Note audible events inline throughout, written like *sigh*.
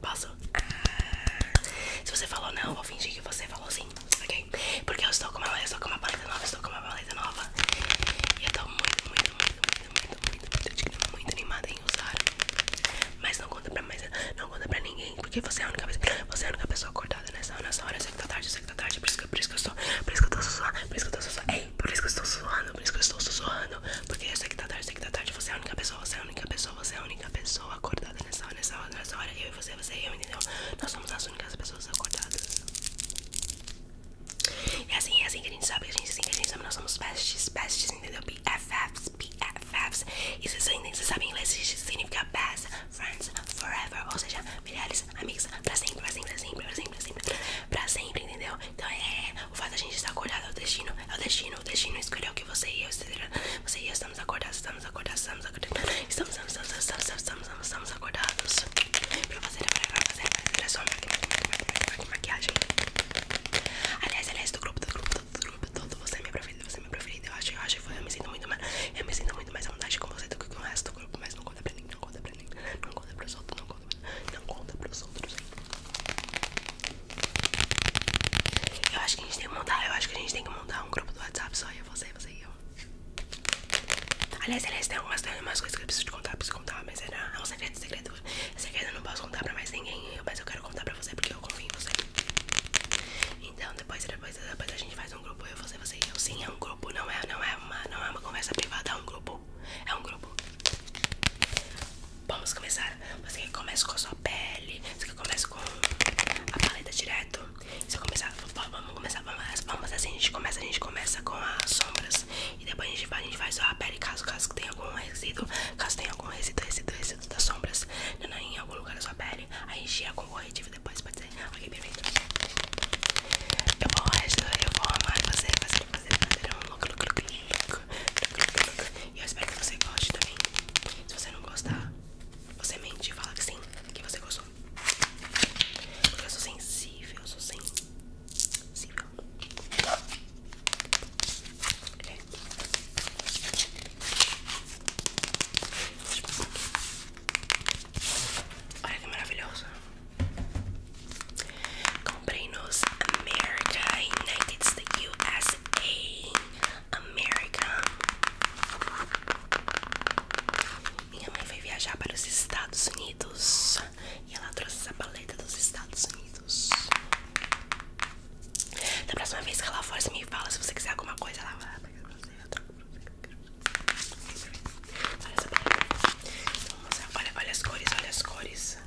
Posso? se você falou não, vou fingir que você falou sim, ok? Porque eu estou com uma, eu nova, estou com uma paleta nova. E eu tô muito, muito, muito, muito, muito, muito, animada em usar. Mas não conta pra mais, não conta pra ninguém, porque você é a única pessoa, acordada nessa, nessa hora, eu sei que tá tarde, eu sei que tá tarde, por isso que, eu estou, por isso que eu estou, sussurrando, por isso que eu tô por isso que eu estou sussurrando, por isso que eu estou sussurrando, porque eu sei que tá tarde, eu sei que tá tarde, você é a única pessoa, você é a única pessoa, você é a única pessoa acordada nessa hora, Eu e você, você e eu, entendeu? Nós somos as únicas pessoas acordadas. É assim, é assim que a gente sabe, a gente, é assim que a gente sabe, nós somos besties, besties, entendeu? BFFs, BFFs. E vocês ainda sabem inglês, significa best friends forever. Ou seja, melhores amigos pra sempre, pra sempre, pra sempre, pra sempre, pra sempre, pra sempre, entendeu? Então é, é, o fato de a gente estar acordado é o destino, é o destino, o destino escolheu que você e eu, você e eu estamos acordados, estamos acordados, estamos acordados, estamos, estamos, estamos, estamos, estamos, estamos, estamos acordados pra fazer, pra maquiagem. Aliás, aliás, do grupo, do grupo, do grupo, todo você é minha preferida, você é minha Eu acho, eu acho, eu me sinto muito mais, me sinto muito mais à vontade com você do que com o resto do grupo, mas não conta para ninguém, não conta para ninguém, não conta para os outros, não conta, não conta pros outros. Eu acho que a gente tem que montar, eu acho que a gente tem que montar um grupo do WhatsApp só eu, você, você e eu. Aliás, aliás, tem algumas, tem algumas coisas que eu preciso te contar, preciso contar, mas era, é, né, é um segredo, segredo. Segredo eu não posso contar pra mais ninguém, mas eu quero contar pra você porque eu confio em você. Então depois, depois, depois a gente faz um grupo, eu, você, você e eu. Sim, é um grupo, não é, não é uma, não é uma conversa privada, é um grupo. É um grupo. Vamos começar. Você começa com a sua pele pele. Só que com a paleta direto. Se começar, vamos começar, vamos, assim, a gente começa, a gente começa com as sombras. E depois a gente vai, a faz a pele caso, caso tenha algum resíduo, caso tenha algum resíduo, resíduo, resíduo das sombras não, né, né, em algum lugar da sua pele. aí gente com o corretivo depois, pode ser? Ok, perfeito. Eu vou, eu vou amar fazer, fazer, fazer, fazer um look, look, look, look, look, look, look, look. E eu espero que você goste também. Se você não gostar, você mente e fala que sim, que você gostou. Porque eu sou sensível, eu sou sensível. É. Olha que maravilhosa. Comprei nos American United States, USA. América. Minha mãe foi viajar para os Estados Unidos e ela trouxe essa paleta dos Estados Unidos. Da próxima vez que ela for, me fala se você quiser alguma coisa, ela vai pegar Olha essa paleta. Olha, as cores, olha as cores.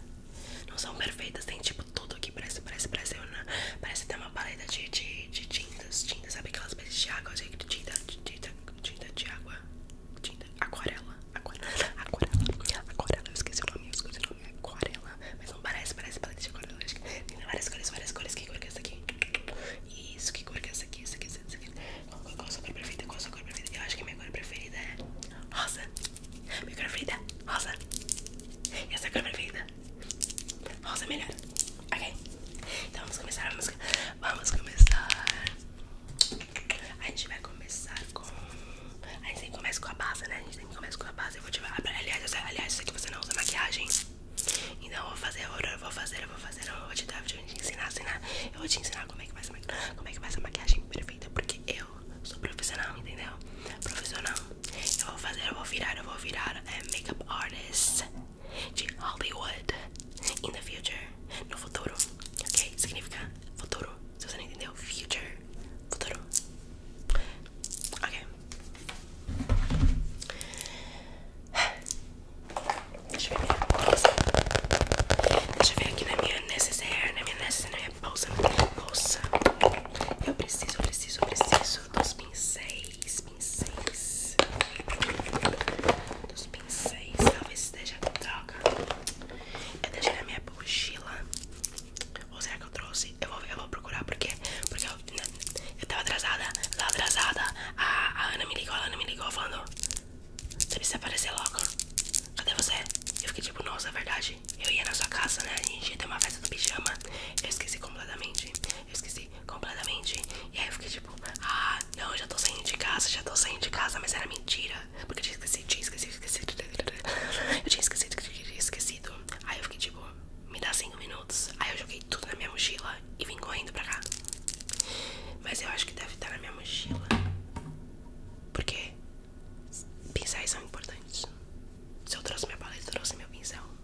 Não são perfeitas, tem tipo tudo aqui. Parece, parece, parece, parece, ter uma paleta de de, tintas, tintas, sabe aquelas peças de água, de tinta, tinta, tinta de água, tinta, aquarela, aquarela, aquarela, aquarela, eu esqueci o nome, eu esqueci o nome, aquarela, mas não parece, parece paleta de aquarela, tem várias cores, várias cores, que cor que é essa aqui? Isso, que cor que é essa aqui, essa aqui, essa aqui, qual, a sua cor preferida, qual a sua cor preferida, eu acho que minha cor preferida é rosa, minha cor preferida é rosa, e essa é cor preferida Rosa melhor. Ok? Então vamos começar Vamos começar. A gente vai começar com. A gente sempre começa com a base, né? A gente sempre começa com a base. Eu vou te Aliás, eu... aliás, eu sei que você não usa maquiagem. Então eu vou fazer, eu vou fazer, eu vou fazer, eu vou te dar, vou te ensinar, ensinar. Eu vou te ensinar como é que faz a, como é que faz a maquiagem perfeita, porque eu sou profissional, entendeu? Profissional. Eu vou fazer, eu vou virar, eu vou virar, cara é makeup artist de Hollywood in the future, no futuro, ok? Significa futuro, se você não entendeu, future, futuro, ok? Deixa eu ver minha bolsa. Deixa eu ver aqui na minha necessária, na minha necessaire, bolsa, bolsa. Eu preciso, preciso, preciso dos pincéis dos pincéis Talvez esteja droga Eu deixei na minha mochila Ou será que eu trouxe? Eu vou, eu vou procurar porque Porque eu, né, eu tava atrasada Eu atrasada a, a Ana me ligou, a me ligou falando Você precisa aparecer logo Cadê você? Eu fiquei tipo, nossa, é verdade Eu ia na sua casa, né? A gente ia ter uma festa do pijama Eu esqueci completamente Eu esqueci Assim, completamente. E aí eu fiquei tipo, ah, não, já tô saindo de casa, já tô saindo de casa, mas era mentira. Porque tinha esquecido, tinha esquecido, esquecido. Eu tinha esquecido, tinha esquecido. Aí eu fiquei tipo, me dá 5 minutos. Aí eu joguei tudo na minha mochila e vim correndo pra cá. Mas eu acho que deve estar na minha mochila. Porque pincéis são importantes. Se eu trouxe minha paleta, eu trouxe meu pincel.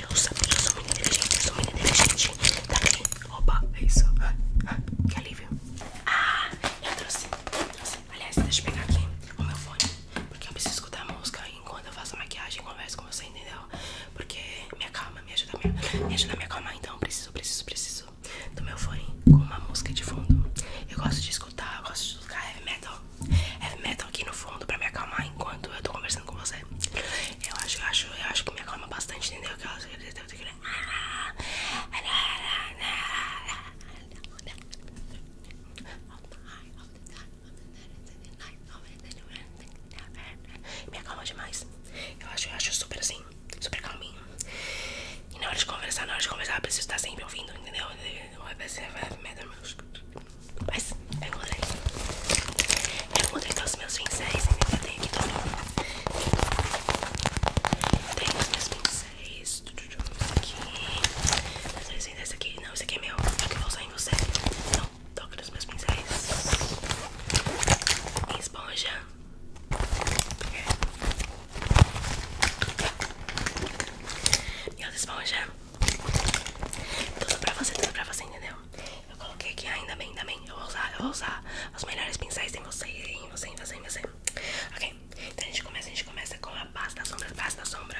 Eu sou muito inteligente, eu sou muito inteligente. Tá aqui. Opa, é isso. que alívio. Ah, eu trouxe, Aliás, deixa eu pegar aqui o meu fone. Porque eu preciso escutar a música enquanto eu faço maquiagem e converso com você, entendeu? Porque minha calma me ajuda, me ajuda a me acalmar. Então, preciso, preciso, preciso do meu fone com uma música de fundo. Eu gosto de escutar, gosto de escutar heavy metal. Heavy metal aqui no fundo pra me acalmar enquanto eu tô conversando com você. Eu acho, eu acho, eu acho que me acalma bastante, entendeu? Que ela me acalma demais. Eu acho, eu acho super assim, super calminho. E na hora de conversar, na hora de conversar, eu preciso estar sempre ouvindo, entendeu? Mas é eu encontrei. Eu encontrei todos os meus pincéis, entendeu? Eu tenho aqui todo. Tenho os meus pincéis. Aqui. Esse aqui. Não, esse aqui é meu. Acho que eu vou usar em você. Não, toca nos meus pincéis. esponja. E outra esponja. Tudo pra você, tudo pra você, entendeu? Eu coloquei aqui, ainda bem, ainda bem. Eu vou usar, eu vou usar os melhores pincéis em você, em você, em você, em você. Ok, então a gente começa, a gente começa com a base da sombra, base da sombra.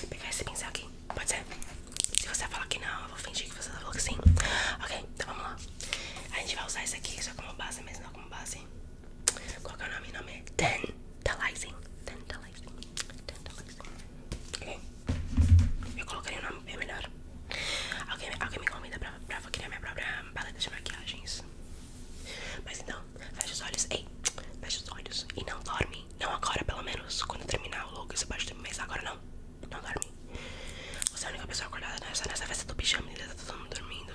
Vou pegar esse pincel aqui, pode ser? Se você falar que não, eu vou fingir que você falou que sim. Ok, então vamos lá. A gente vai usar esse aqui só como base, mesmo não como base. Qual que é o nome? O nome é Tantalizing. Tantalizing. Tantalizing. Ok? Eu colocaria o nome bem é melhor. Alguém, alguém me convida pra, pra criar minha própria paleta de maquiagens. Mas então, fecha os olhos. Ei, fecha os olhos. E não dorme. Não agora, pelo menos. Quando terminar o logo, você pode dormir. Mas agora não. Não dorme. Você é a única pessoa acordada nessa, nessa festa do pijama. e tá todo mundo dormindo.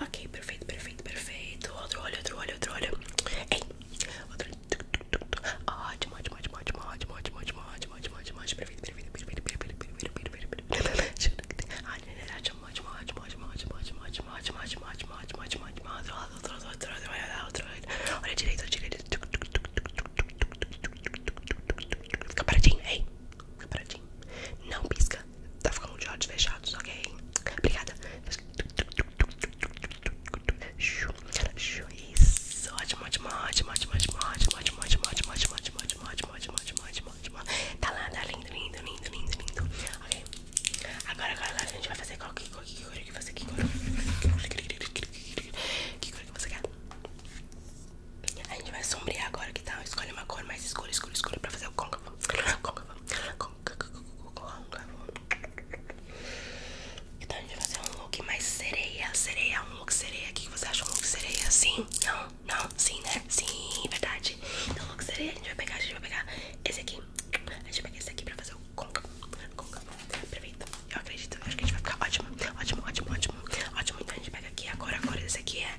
Ok, perfeito, perfeito, perfeito. Outro olho, outro olho, outro olho. Ei, outro olho. Ótimo, ótimo, ótimo, ótimo, ótimo, ótimo, ótimo, ótimo, ótimo, ótimo, Perfeito, perfeito, perfeito, perfeito, perfeito, perfeito, perfeito. Olha direito, olha direito. Fica paradinho, ei. Tá Não pisca. Tá ficando de olhos fechados, ok? Obrigada. Isso. Ótimo, ótimo, ótimo, ótimo, ótimo, ótimo, ótimo, ótimo, ótimo, ótimo, ótimo, ótimo, ótimo, ótimo, ótimo, ótimo. Tá lá, tá lindo, lindo, lindo, lindo, lindo. Ok. Agora, agora, agora a gente vai fazer qual que cor que cor que você quer? Que cor que você quer? A gente vai sombrear agora que tal? Escolhe uma cor mais escura, escura, escura pra fazer o conga então a gente vai fazer um look mais sereia, sereia, um look sereia. O que você acha um look sereia? Sim? Não? Não? Sim, né? Sim, verdade. Então look sereia a gente vai pegar, a gente vai pegar esse aqui. A gente vai pegar esse aqui pra fazer o côncavo, côncavo. Perfeito. Eu acredito, acho que a gente vai ficar ótimo, ótimo, ótimo, ótimo, ótimo. Então a gente pega aqui agora, agora esse aqui é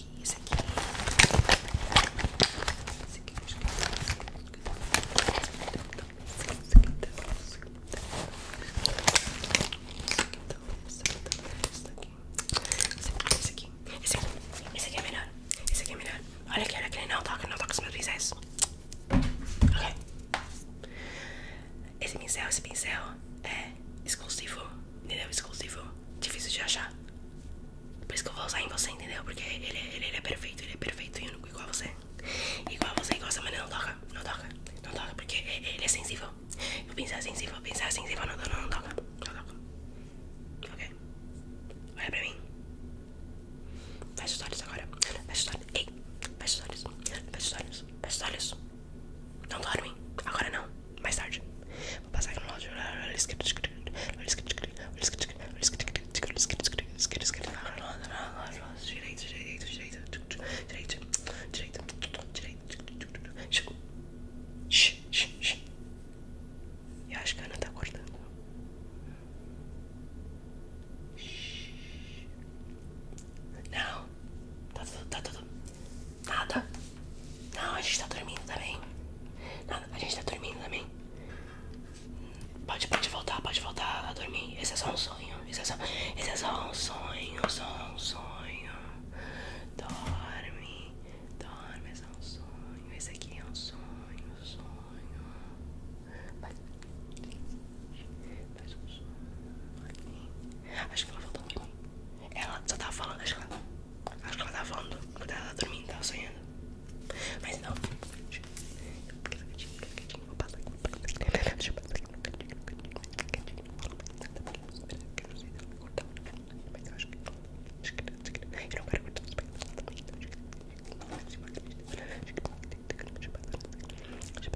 aqui, esse aqui. Esse aqui, esse aqui. Esse aqui, esse aqui. Esse aqui, esse aqui, esse aqui é melhor. Esse aqui é melhor. É é olha aqui, olha aqui. Não toca, não toca os meus pincéis. Ok. Esse pincel, esse pincel é exclusivo. Entendeu? Exclusivo. Difícil de achar. Por isso que eu vou usar em você, entendeu? Porque ele, ele, é perfeito, ele é perfeito e único, igual a você. Igual a você, igual a mas maneira, não toca, não toca, não toca, porque ele é sensível. Eu pensar sensível, pensar sensível, não, não, não toca, não toca. Ok? Olha pra mim. Fecha os olhos agora. Fecha os olhos. Ei, fecha os olhos. Fecha os olhos. Fecha os olhos. Não dorme. Agora não. mais tarde. Vou passar aqui no áudio. Direito, direito, direito. Direito, direito, direito. Chegou. Eu acho que a Ana tá acordando. Não, tá tudo, tá tudo, Nada. Não, a gente tá dormindo também. Nada, a gente tá dormindo também. Pode, pode voltar, pode voltar a dormir. Esse é só um sonho. Esse é só, esse é só um sonho, só um sonho. Dorme, dorme, é só um sonho. Esse aqui é um sonho, sonho. Faz, faz um sonho. Aqui. Acho que ela voltou aqui. Ela só tava falando, acho que ela. Acho que ela tá falando que ela tá sonhando. Mas não. Vou passar aqui. Deixa eu passar aqui. Mas eu acho que. Eu não quero cortar os pés. Deixa eu passar aqui.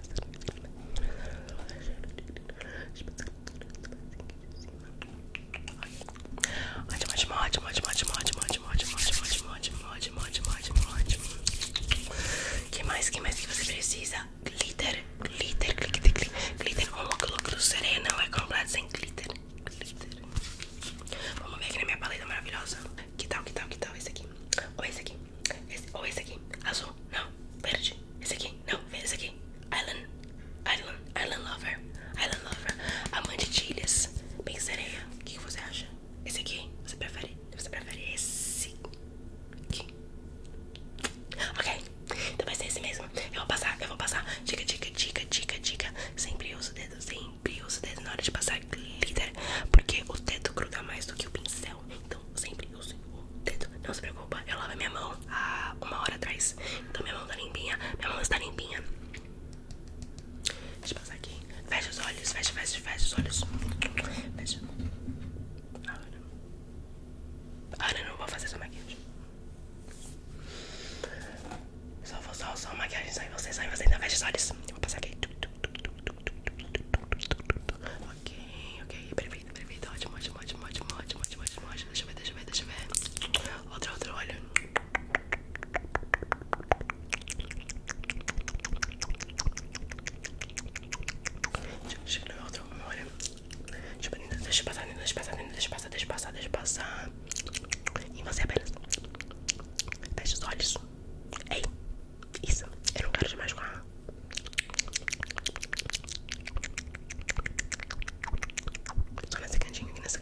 Ótimo, ótimo, ótimo, ótimo, ótimo, ótimo, ótimo, ótimo, ótimo, ótimo, ótimo, ótimo, ótimo, ótimo. Que mais, que mais que você precisa? Glitter, glitter, glitter, glitter, glitter. Um look, look do Serena é completo sem glitter, glitter. Vamos ver aqui na minha paleta maravilhosa. Que tal, que tal, que tal esse aqui? Ou esse aqui? ou esse aqui? Azul? Não. Verde? Esse aqui? Não. Esse aqui? Island, Island, Island Lover, Island Lover, amante de ilhas, bem O que você acha? Esse aqui? Você prefere? Você prefere esse aqui? Ok, então vai ser esse mesmo. Eu vou passar, eu vou passar. Dica, dica, dica, dica, dica. Sempre uso o dedo, sempre uso o dedo na hora de passar glitter, porque o dedo gruda mais do que o pincel. Então sempre uso o dedo. Não se preocupa, eu lavo minha mão há uma hora atrás. Então minha mão tá limpinha, minha mão está limpinha. Deixa eu passar aqui. Fecha os olhos, fecha, fecha, fecha os olhos. Fecha. Agora. Agora eu não vou fazer sua maquiagem. Só vou só, só maquiagem, só em você, só você. Ainda fecha os olhos. Eu vou passar aqui. Ok, ok. Perfeito, perfeito. Ótimo, ótimo, ótimo, ótimo, ótimo, ótimo, ótimo. Deixa eu ver, deixa eu ver, deixa eu ver. Outro, outro olho. Deixa eu pegar outra memória. Deixa passar, deixa passar, deixa passar, deixa passar, deixa passar. E você apenas fecha os olhos. Ei, isso. Eu não quero demais com a. Só nesse cantinho aqui, nesse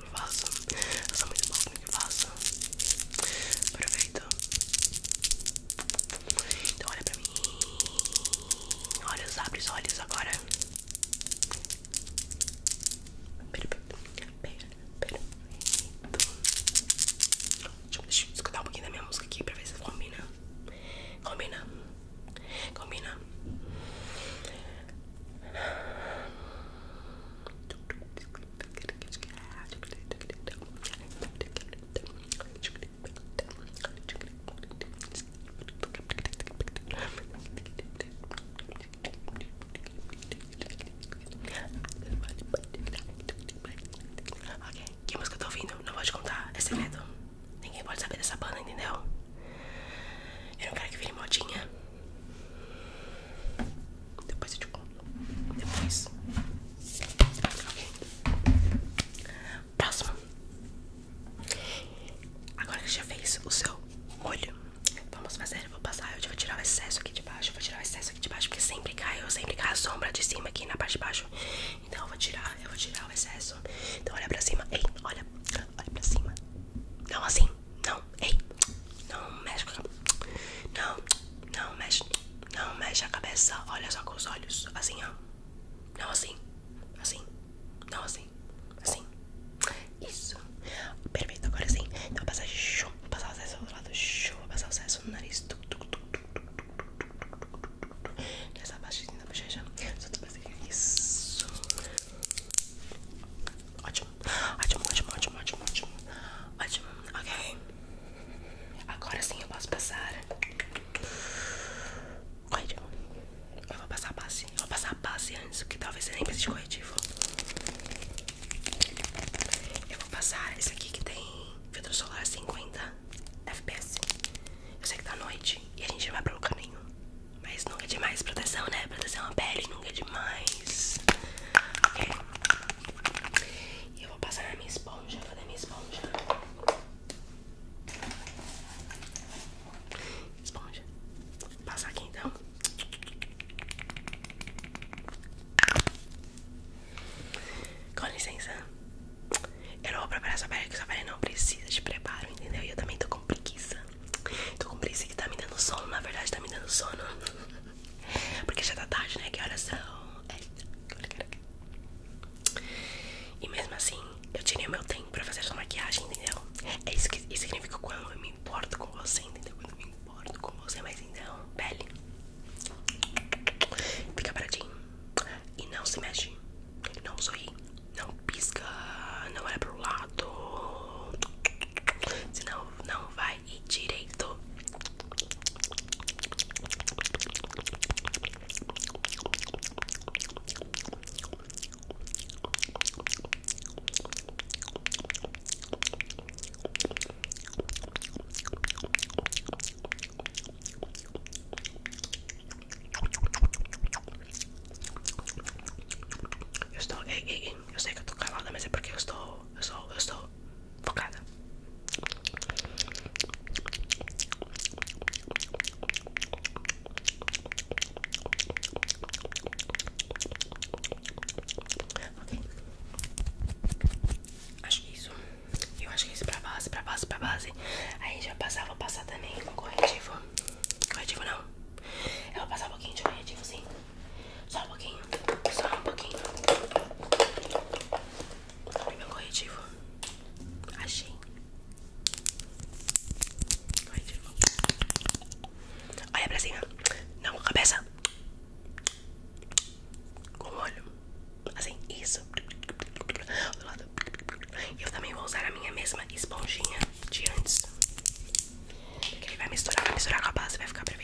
eu não faço. Eu sou muito boa no que faço. Perfeito. Então olha pra mim. Olha, abre os olhos agora. Perfeito. Perfeito. Deixa, deixa eu escutar um pouquinho da minha música aqui pra ver se combina. Combina. Combina. Combina. Ok, que música eu tô ouvindo? Não vou te contar, é segredo. Ninguém pode saber dessa banda, entendeu? Eu não quero que vire modinha. Depois eu te conto. Depois. Ok. Próximo. Agora que já fez o seu olho, vamos fazer. Eu vou passar. Eu vou tirar o excesso aqui de baixo. Eu vou tirar o excesso aqui de baixo. Porque sempre cai. Eu sempre cai a sombra de cima aqui na parte de baixo. Então eu vou tirar. Eu vou tirar o excesso. Então olha pra cima. Ei, olha. Olha pra cima. Não assim não, ei, não mexe com Não, não mexe, não mexe a cabeça, olha só com os olhos, assim ó. Não assim, assim, não assim, assim. Isso. Perfeito, agora sim. Então vou passar chum, passar o excesso do outro lado, chum, vou passar o excesso no nariz. tuk tuk tuk tuk tu, Nessa parte da bochecha. Só tu fazer isso. Ótimo ótimo, ótimo, ótimo, ótimo, ótimo, ótimo, ok. Agora sim eu posso passar. Corretivo. Eu vou passar a base. vou passar a base antes, porque talvez você nem precise de corretivo. Eu vou passar esse aqui que tem filtro solar 50 FPS. Eu sei que tá noite e a gente não vai pra lugar nenhum. Mas nunca é demais proteção, né? Proteção à pele nunca é demais. Ok? E eu vou passar na minha esponja. fazer minha esponja? Esponja. Vou passar aqui então. Com licença. Eu não vou preparar essa pele, que essa pele não precisa de preparo, entendeu? E eu também tô com preguiça. Tô com preguiça que tá me dando sono, na verdade tá me dando sono. *laughs* Porque já tá tarde, né? Que horas são? É. E mesmo assim, eu tirei o meu tempo pra fazer essa maquiagem, entendeu? É isso que isso significa quando eu me importo com você, entendeu? Quando eu me importo com você, mas então, pele. Fica paradinho. E não se mexe. Não sorri. Não pisca. Não olha pro lado. Senão não vai e direito. Eu estou, ei, eu sei que estou calada, mas é porque eu estou, eu estou, eu estou focada. Ok. Acho que é isso. Eu acho que é isso pra base, pra base, pra base. Aí já passava, vou passar também com corretivo. Corretivo não. Eu vou passar um pouquinho de corretivo, sim. Só um pouquinho, só um pouquinho. Abri meu corretivo. Achei. Corretivo. Olha pra cima. Não, cabeça. Com o olho. Assim, isso. Do lado. Eu também vou usar a minha mesma esponjinha de antes. Porque ele vai misturar, vai misturar com a base, vai ficar perfeito.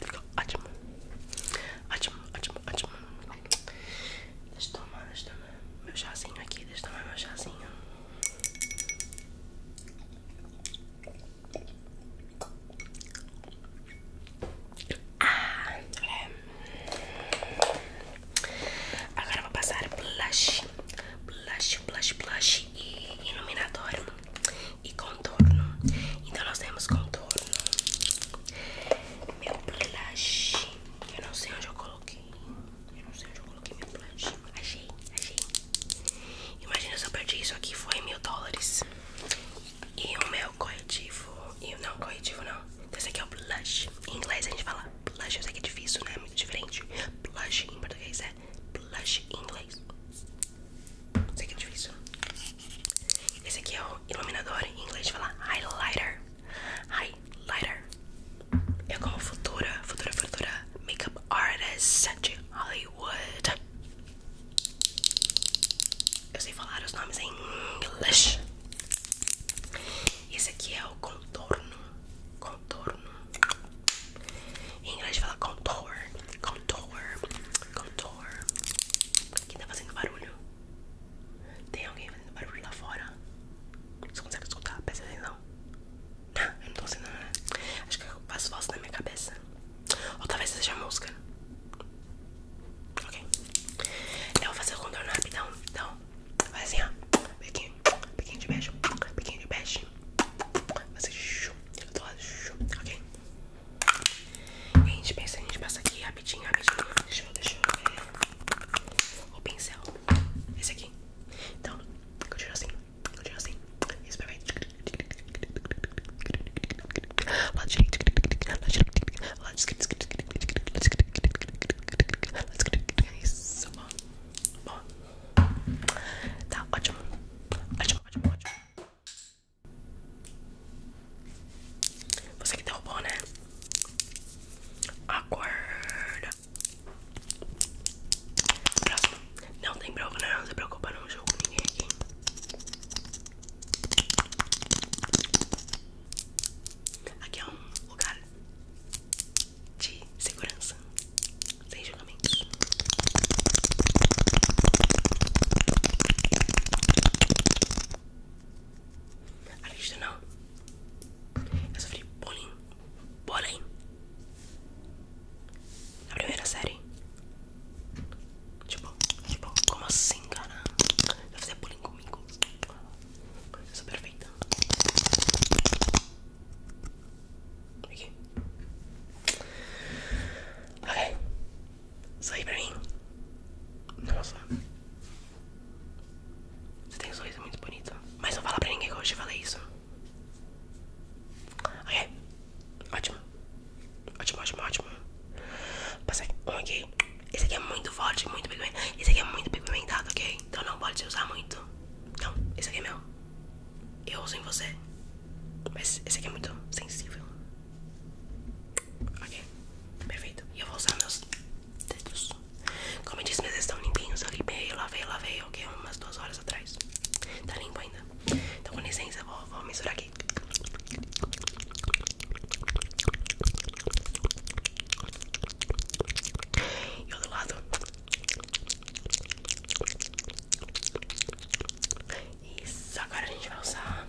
Fica ótimo. Ótimo, ótimo, Deixa eu tomar, deixa eu tomar meu chazinho aqui. Deixa eu tomar meu chazinho. Ah, é. Agora vou passar blush, blush, blush, blush e iluminador e contorno. Então nós temos contorno meu blush. Eu não sei onde eu coloquei. Eu não sei onde eu coloquei meu blush. Achei, achei. Imagina se eu perdi isso aqui, foi mil dólares. E o meu corretivo. E não, corretivo não. Esse aqui é o blush. Em inglês a gente fala blush, eu sei que é difícil, né? é Muito diferente. Blush em português é blush em inglês. Sei que é difícil. Esse aqui é o iluminador, em inglês fala highlighter. Highlighter. Eu é como futura, futura, futura makeup artist de Hollywood. Eu sei falar os nomes em inglês. Esse aqui é o contorno. Contorno. Em inglês fala contour. Contour. Contour. Quem tá fazendo barulho? Tem alguém fazendo barulho lá fora? Você consegue escutar? Presta atenção. Não, tá, não tô sendo. Né? Acho que eu faço voz na minha cabeça. Ou talvez seja música. Ok. Eu vou fazer o contorno rapidão. Então, vai assim, ó. Pequinho, pequinho de beijo, pequeno de beijo. Vai ser chup, do lado, chup, ok? E a gente pensa, a gente passa aqui rapidinho, rapidinho. Deixa eu, ver. O pincel. Esse aqui. Então, continua assim. Continua assim. Isso, perfeito. Lado direito. Lado direito. Lado esquerdo. Isso, bom. Bom. Tá, ótimo. Ótimo, ótimo, ótimo. Você que tem o bom, né? Acorda. Próximo. Não tem problema, não. Não se preocupa, não jogo ninguém aqui. Aqui é um lugar de segurança. Sem julgamentos. Acredita não? Eu sofri bullying. Bullying. Na primeira série. Tipo, tipo, como assim, cara? Vai fazer bullying comigo? Eu sou perfeita. Aqui. Ok. Sorri pra mim. Nossa. Você tem um sorriso é muito bonito. Mas não fala pra ninguém que eu te falei isso. Ok. Ótimo. Ótimo, ótimo, ótimo. Passei um aqui. Esse aqui é muito forte, muito pigmentado. Esse aqui é muito pigmentado, ok? Então não pode usar muito. Não, esse aqui é meu. Eu uso em você. Mas esse aqui é muito sensível. Ok, perfeito. E eu vou usar meus dedos. Como eu disse, meus estão limpinhos. Eu limpei, lavei, lavei, ok? Umas duas horas atrás. Tá limpo ainda. Então, com licença, vou, misturar aqui. E outro lado. Isso, agora a gente vai usar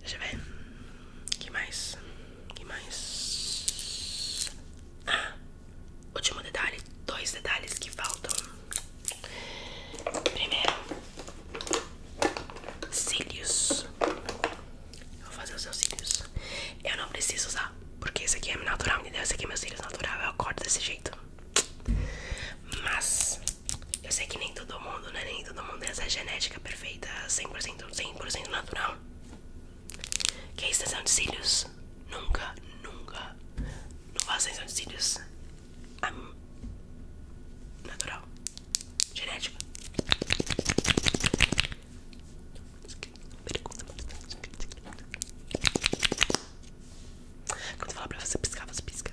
Deixa eu ver. Que mais? Que mais? Ah, último detalhe. Dois detalhes que faltam. Primeiro, cílios. Eu vou fazer os meus cílios. Eu não preciso usar, porque esse aqui é natural, me deu. Esse aqui é meus cílios natural. Eu corto desse jeito. Mas eu sei que nem todo mundo, né? Nem todo mundo tem essa genética perfeita, 100%, 100% natural. Que é extensão de cílios? Nunca, nunca. Não faço extensão de cílios. natural. Genética. Quando eu falar pra você piscar, você pisca.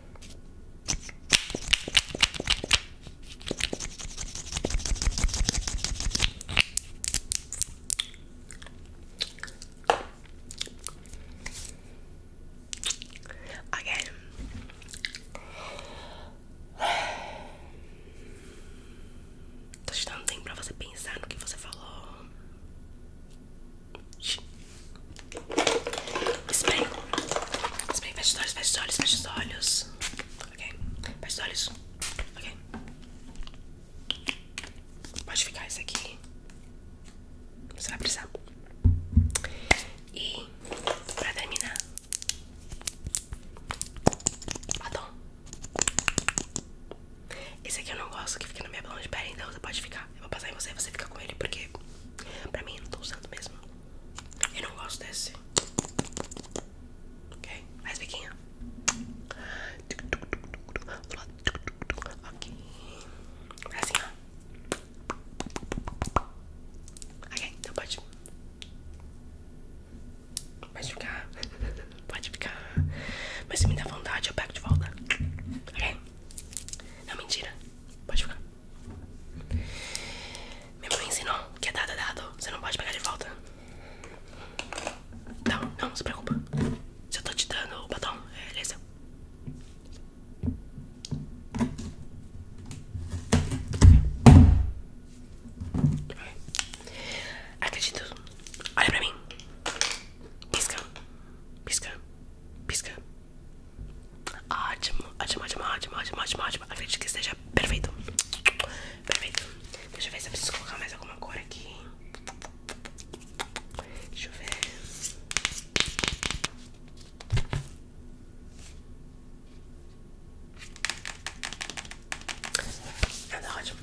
Again. Estou te dando tempo para você pensar no que você falou. Spray. Spray, fecha os olhos, fecha os olhos, fecha os olhos. Ok? Fecha os olhos. Ok? Pode ficar isso aqui. Você vai precisar. E, pra terminar, batom. Esse aqui eu não gosto que fique na minha mão de pele, então você pode ficar. Eu vou passar em você e você fica com ele, porque pra mim eu não tô usando mesmo. Eu não gosto desse. Ok? Mais biquinha. Ok. Assim, ó. Ok, então pode. Pode ficar. *laughs* Pode ficar. Mas se me dá vontade, eu pego de volta. Ok? Não, mentira. Pode ficar. Minha mãe ensinou que é dado é dado, você não pode pegar de volta. Não, não, se preocupa. Se eu tô te dando o batom, é, ele é seu. Acredito. Olha pra mim. Pisca. Pisca. Pisca. Ótimo, ótimo, ótimo, ótimo, ótimo, ótimo, ótimo. Acredito que esteja perfeito. Perfeito. Deixa eu ver se eu preciso colocar mais alguma cor aqui. Deixa eu ver. Anda, ah, tá ótimo.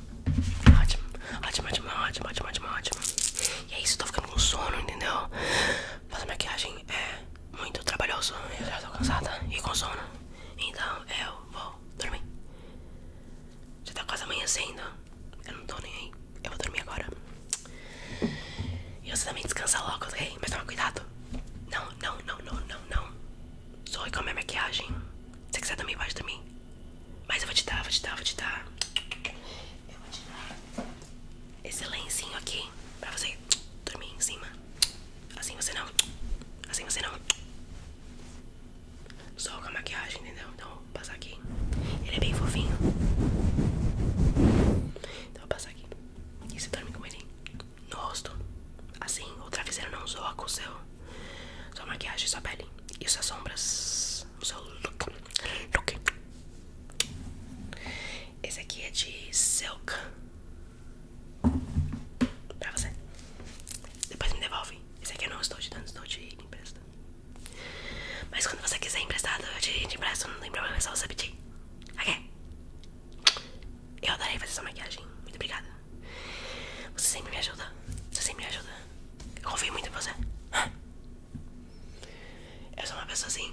Ótimo, ótimo, ótimo, ótimo, ótimo, ótimo, ótimo. E é isso, tô ficando com sono, entendeu? Fazer maquiagem é muito trabalhoso. Eu já tô cansada e com sono. Então eu vou dormir. Já tá quase amanhecendo. Eu não tô nem aí. Eu vou dormir agora. E você também descansa logo, ok? Mas toma cuidado. Não, não, não, não, não, não. Zoe com a maquiagem. Se você quiser dormir, pode dormir. Mas eu vou te dar, vou te dar, vou te dar. Eu vou te dar esse lencinho aqui pra você dormir em cima. Assim você não. Assim você não. Só com a maquiagem, entendeu? Então vou passar aqui. Ele é bem fofinho. Então vou passar aqui. E você dorme com ele no rosto. Assim, o travesseiro não zoa com o seu. Sua maquiagem, sua pele. E suas sombras. O seu look. Look. Esse aqui é de Silk Pra você. Depois me devolve. Esse aqui eu não estou te dando, estou te emprestando. Mas quando você quiser emprestado, eu te, empresto. Não tem problema, é só você pedir. Ok? Eu adorei fazer essa maquiagem. Muito obrigada. Você sempre me ajuda. Você sempre me ajuda. Eu confio muito em você. Eu sou uma pessoa assim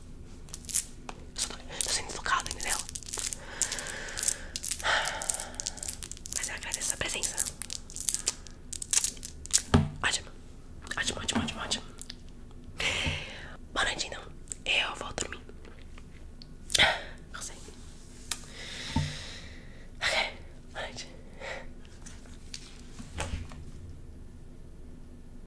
Só tô, tô sendo focado, entendeu? Mas eu agradeço a presença. Ótimo, ótimo, ótimo, ótimo, ótimo. Boa noite, então. Eu volto dormir. Não sei. Ok, boa noite.